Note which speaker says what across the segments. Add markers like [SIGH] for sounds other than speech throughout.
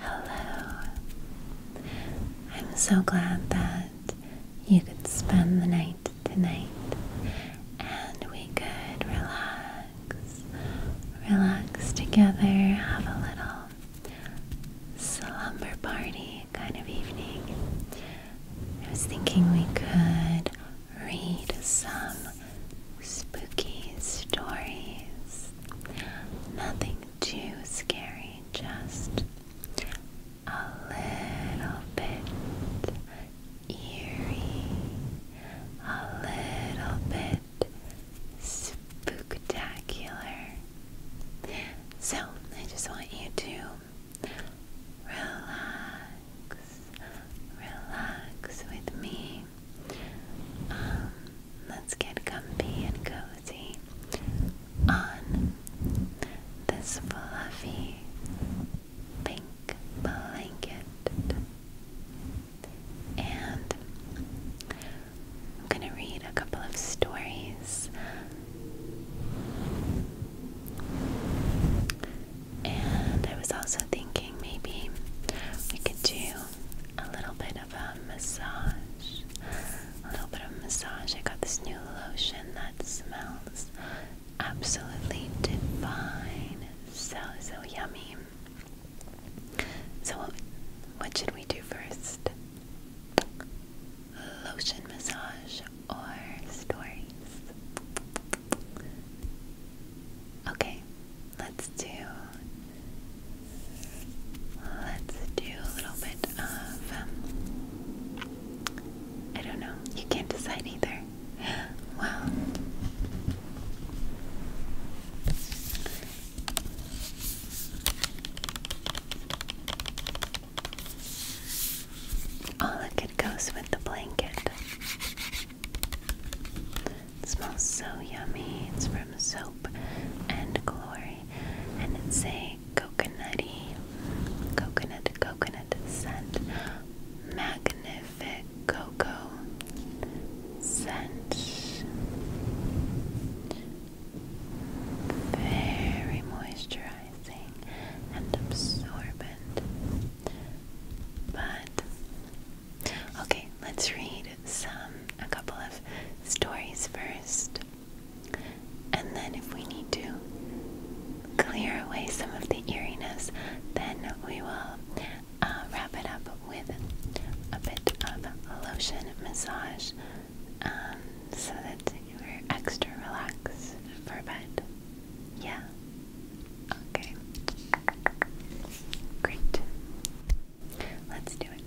Speaker 1: Hello. I'm so glad that you could spend the night tonight and we could relax. Relax together, have a little slumber party kind of evening. I was thinking we could read some spooky stories. Nothing too scary, just a little bit eerie, a little bit spooktacular. So, I just want you to relax, relax with me. Um, let's get comfy and cozy on this fluffy pink blanket. And I'm going to read a couple of stories. And I was also thinking maybe we could do a little bit of a massage. A little bit of massage. I got this new lotion that smells absolutely divine. So, so yummy. So, what, what should we do first? Lotion massage or stories? Okay, let's do Let's do a little bit of. Um, I don't know. You can't decide either. [GASPS] Wow. Oh, it goes with the blanket. It smells so yummy. It's from Soap and Glory. And it's a coconutty, coconut, coconut scent. Magnific cocoa scent. Very moisturizing and absorbent. But, okay, let's read some, a couple of stories first, and then if we need to clear away some of the eeriness, then we will uh, wrap it up with a bit of lotion massage um, so that you're extra relaxed for bed. Yeah? Okay. Great. Let's do it.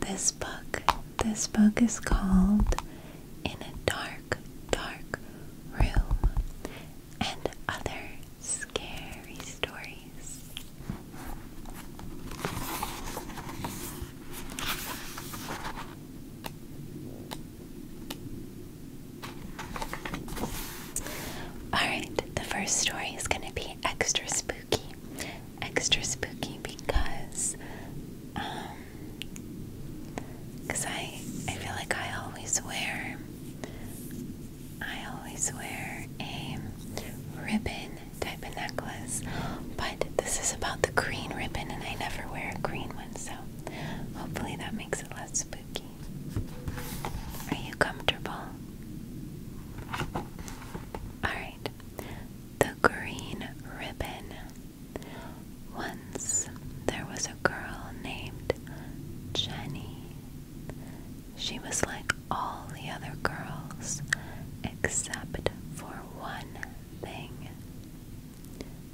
Speaker 1: This book, this book is called In a Dark, Dark Room and Other Scary Stories. Alright, the first story is going to be extra spooky. Extra spooky because, um, because I, I feel like I always wear, I always wear a ribbon type of necklace, but this is about the green ribbon and I never wear a green one, so hopefully that makes it less spooky. Are you comfortable? Alright, the green ribbon. Once there was a girl named Jenny. She was like all the other girls except for one thing.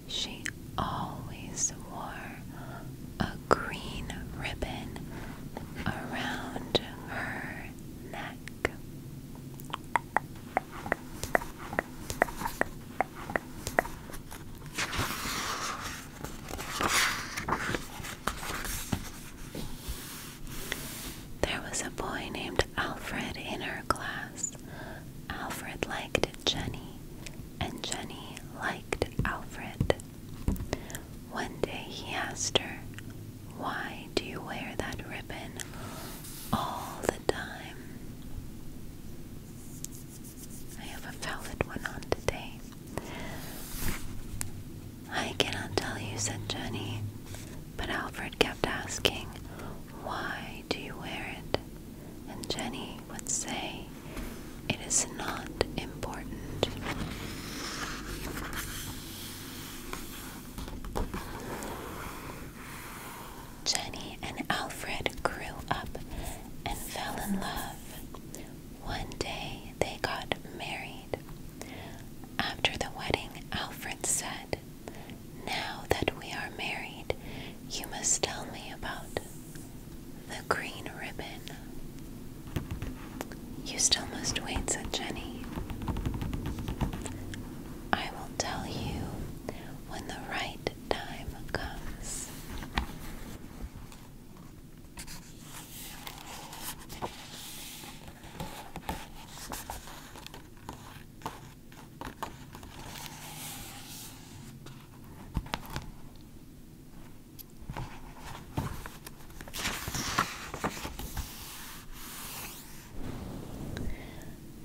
Speaker 1: She always wore a green ribbon there was a boy named Alfred in her class. Alfred liked Jenny, and Jenny liked Alfred. One day he asked her, Why do you wear that ribbon all the time? I have a valid one on today. I cannot tell you, said Jenny, but Alfred kept asking, Why do you wear it? And Jenny would say, It is not important. Jenny and Alfred grew up and fell in love. One day they got married. After the wedding, Alfred said, Now that we are married, you must tell me about the green ribbon. You still must wait, said Jenny. I will tell you when the right time comes.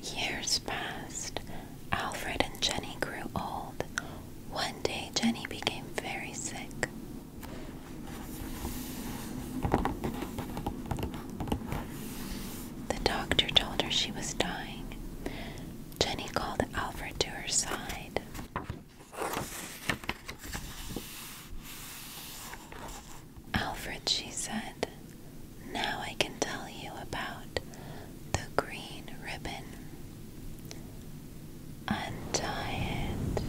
Speaker 1: Years passed. Alfred and Jenny grew old. One day, Jenny became very sick. The doctor told her she was dying. Jenny called Alfred to her side. Alfred, she said, now I can tell you about the green ribbon. Untie it,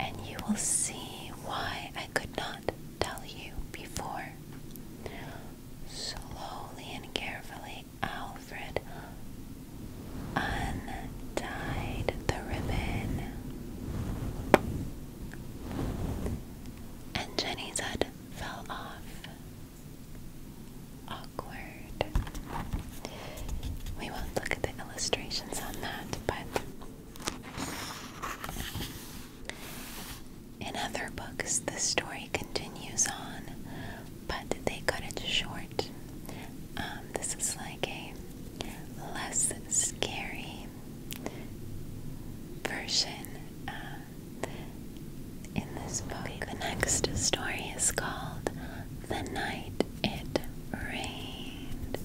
Speaker 1: and you will see why I could not tell you before. Slowly and carefully, Alfred untied the ribbon. And Jenny's head fell off. Awkward. We won't look at the illustrations on that, but in other books, the story continues on, but they cut it short. Um, this is like a less scary version um, in this book. The next story is called The Night It Rained.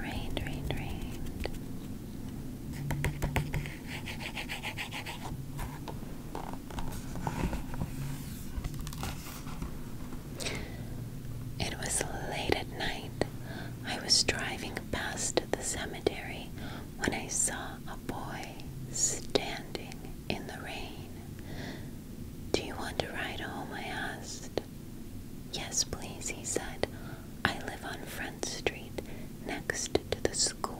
Speaker 1: Rained, rained, rained. It was late at night. I was driving past the cemetery when I saw a boy standing in the rain. Do you want to ride home? I asked. Yes, please, he said. I live on Front Street next to the school.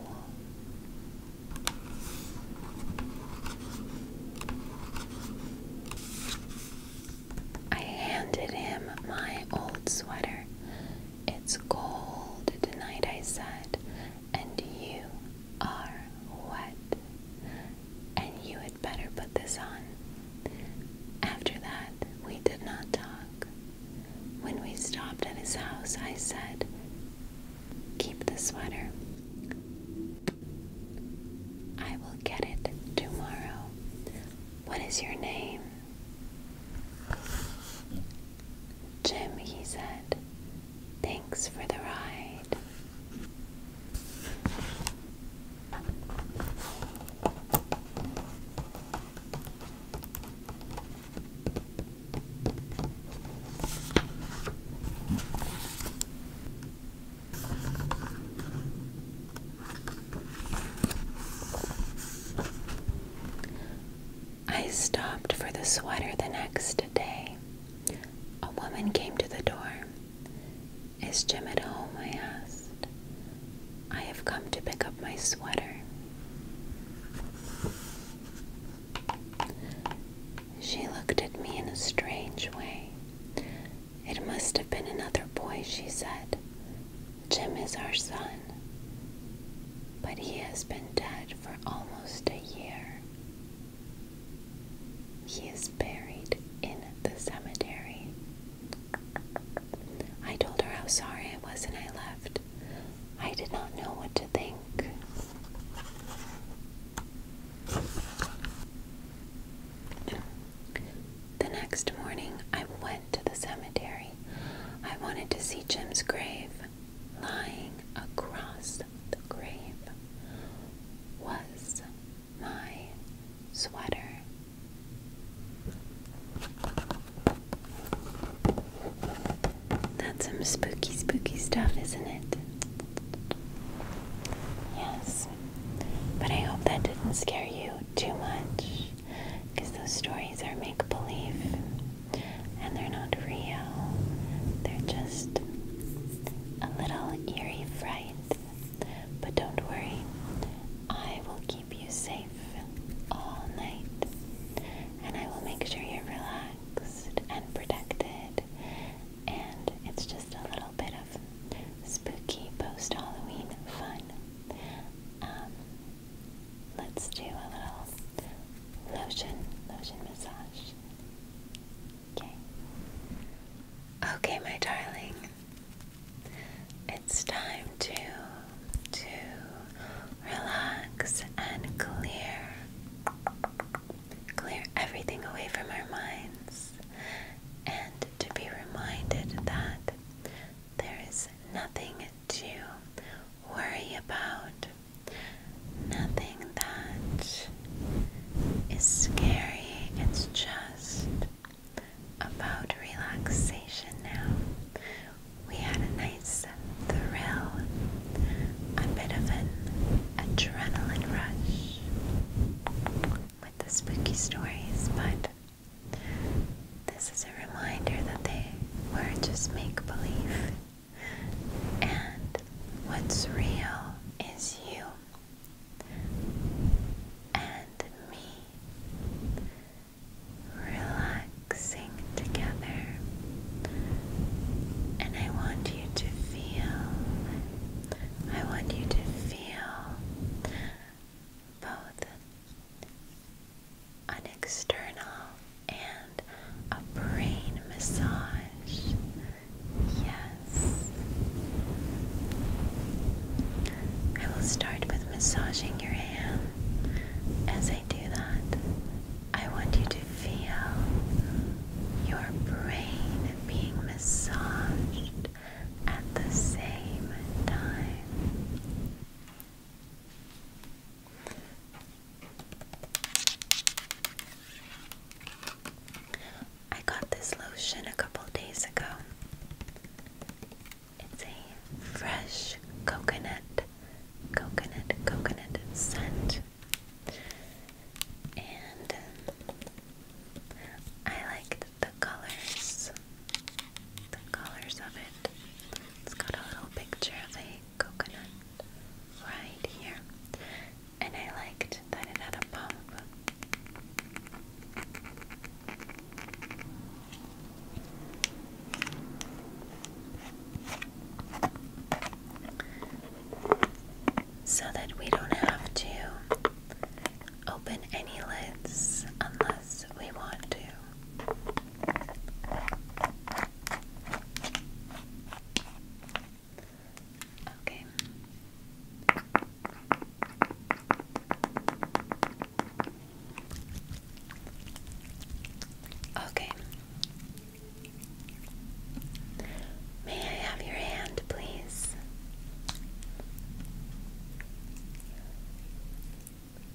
Speaker 1: I handed him my old sweater. It's cold tonight, I said, and you are wet. And you had better put this on. After that, we did not talk. When we stopped at his house, I said, Keep the sweater. I will get it tomorrow. What is your name? Jim, he said. Thanks for the ride. I stopped for the sweater the next day. A woman came to the door. Is Jim at home? I asked. I have come to pick up my sweater. She looked at me in a strange way. It must have been another boy, she said. Jim is our son, but he has been dead for almost a year. He is buried in the cemetery. I told her how sorry I was and I left. I did not know what to think. The next morning, I went to the cemetery. I wanted to see Jim's grave. Lying across the grave was my sweater. That's some spooky, spooky stuff, isn't it? Yes. But I hope that didn't scare you too much because those stories are make believe and they're not real. They're just a little eerie fright. But don't worry, I will keep you safe all night and I will make sure you're relaxed and protected. And it's just a little bit of spooky post Halloween fun. Um, let's do a little lotion, lotion massage. Okay. Okay, my darling. It's time to to relax and clear clear everything away from our minds and to be reminded that there is nothing to worry about, nothing that is scary. It's just about relaxation now. We had a nice thrill, a bit of an adrenaline rush with the spooky stories, but this is a reminder that they were just make believe, and what's real is you and me relaxing together. And I want you to feel, I want you to feel both an external and a brain massage. Yes. I will start with massaging your hand. As I do that, I want you to feel your brain being massaged at the same time. I got this lotion a couple days ago. It's a fresh coconut, coconut, coconut scent. And um, I like the colors, the colors of it. It's got a little picture of a coconut right here, and I liked that it had a pump. So that we don't have to open any lids unless we want to. Okay. Okay. May I have your hand, please?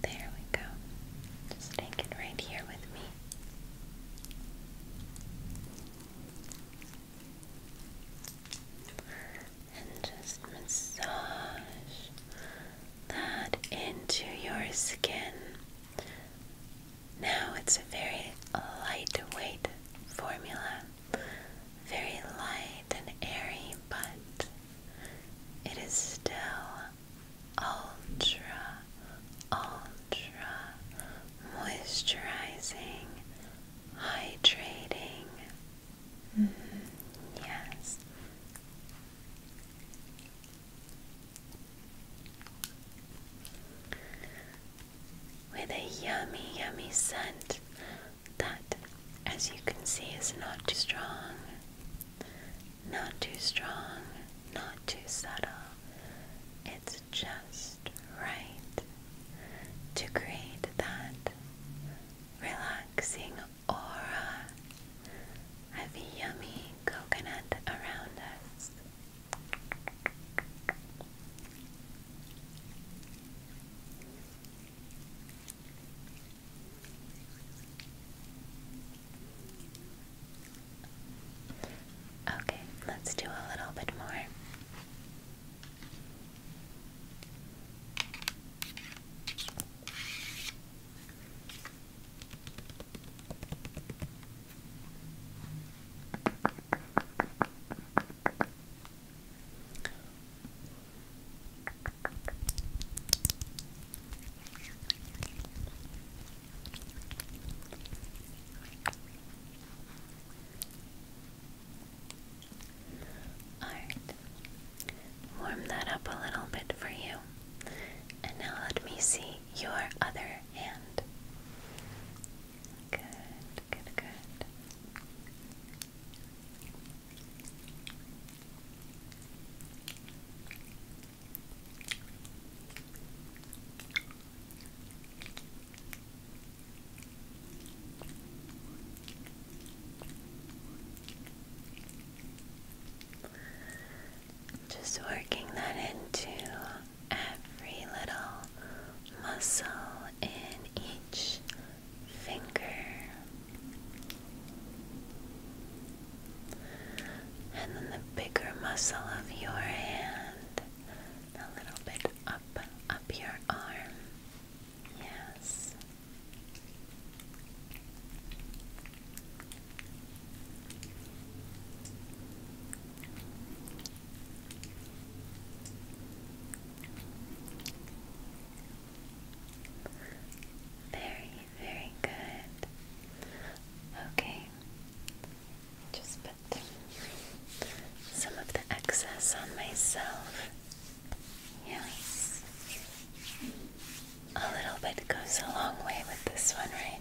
Speaker 1: There we go. Just take it right here with me. And just massage that into your skin. Now it's a very lightweight formula very light and airy, but it is still ultra, ultra moisturizing, hydrating. Mm-hmm. yes. With a yummy, yummy scent that, as you can see, is not too strong, not too strong, not too subtle. It's just right to create that relaxing aura of yummy coconut around us. Okay, let's do a little bit more. Alright, warm that up a little bit for you. And now let me see your other hand. Good, good, good. Just working that into every little muscle in each finger and then the bigger muscle of your hand a little bit up up your arm yes very, very good. Okay, just put some of the excess on myself. Yes. A little bit goes a long way with this one, right?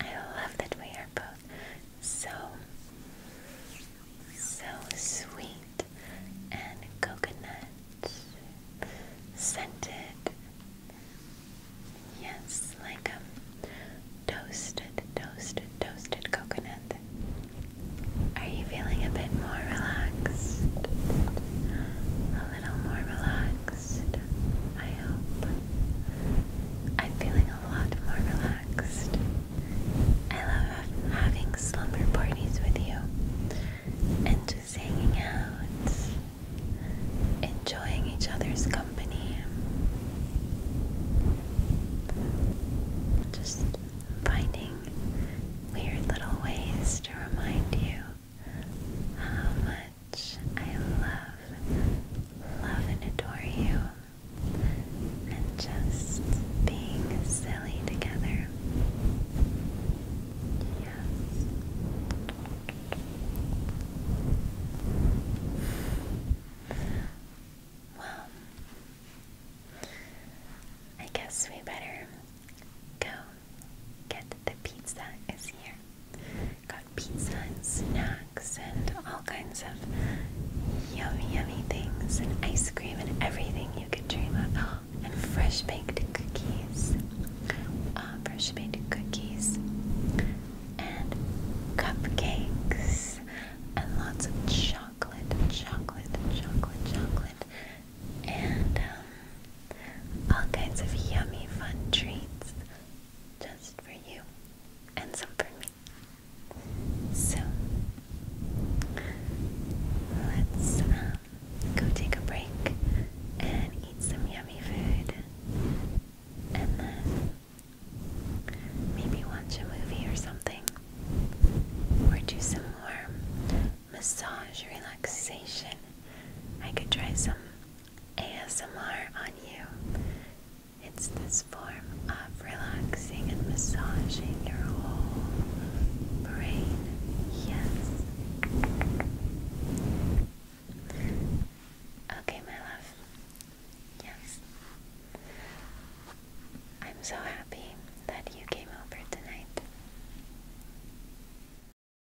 Speaker 1: I love that we are both so, so sweet and coconut scented. Yes, like a um, toasted, toasted, toasted coconut. Are you feeling a bit more relaxed? a little more relaxed, I hope. I'm feeling a lot more relaxed. I love having slumber parties with you and just hanging out, enjoying each other's company. Just finding weird little ways to remind you how much I love, love and adore you, and just being silly together. Yes. Well, I guess we better go get the pizza is here. Got pizza and snacks and all kinds of yummy, yummy things and ice cream and everything you could dream of. And fresh baked cookies. Uh, fresh baked cookies and cupcakes and lots of chocolate, chocolate, chocolate, chocolate. And um, all kinds of yummy, fun treats just for you and some for me. So, let's um, go take a break and eat some yummy food and then maybe watch a movie or something or do some more massage relaxation. I could try some ASMR on you. It's this form of relaxing and massaging your whole brain. Yes. Okay, my love. Yes. I'm so happy that you came over tonight.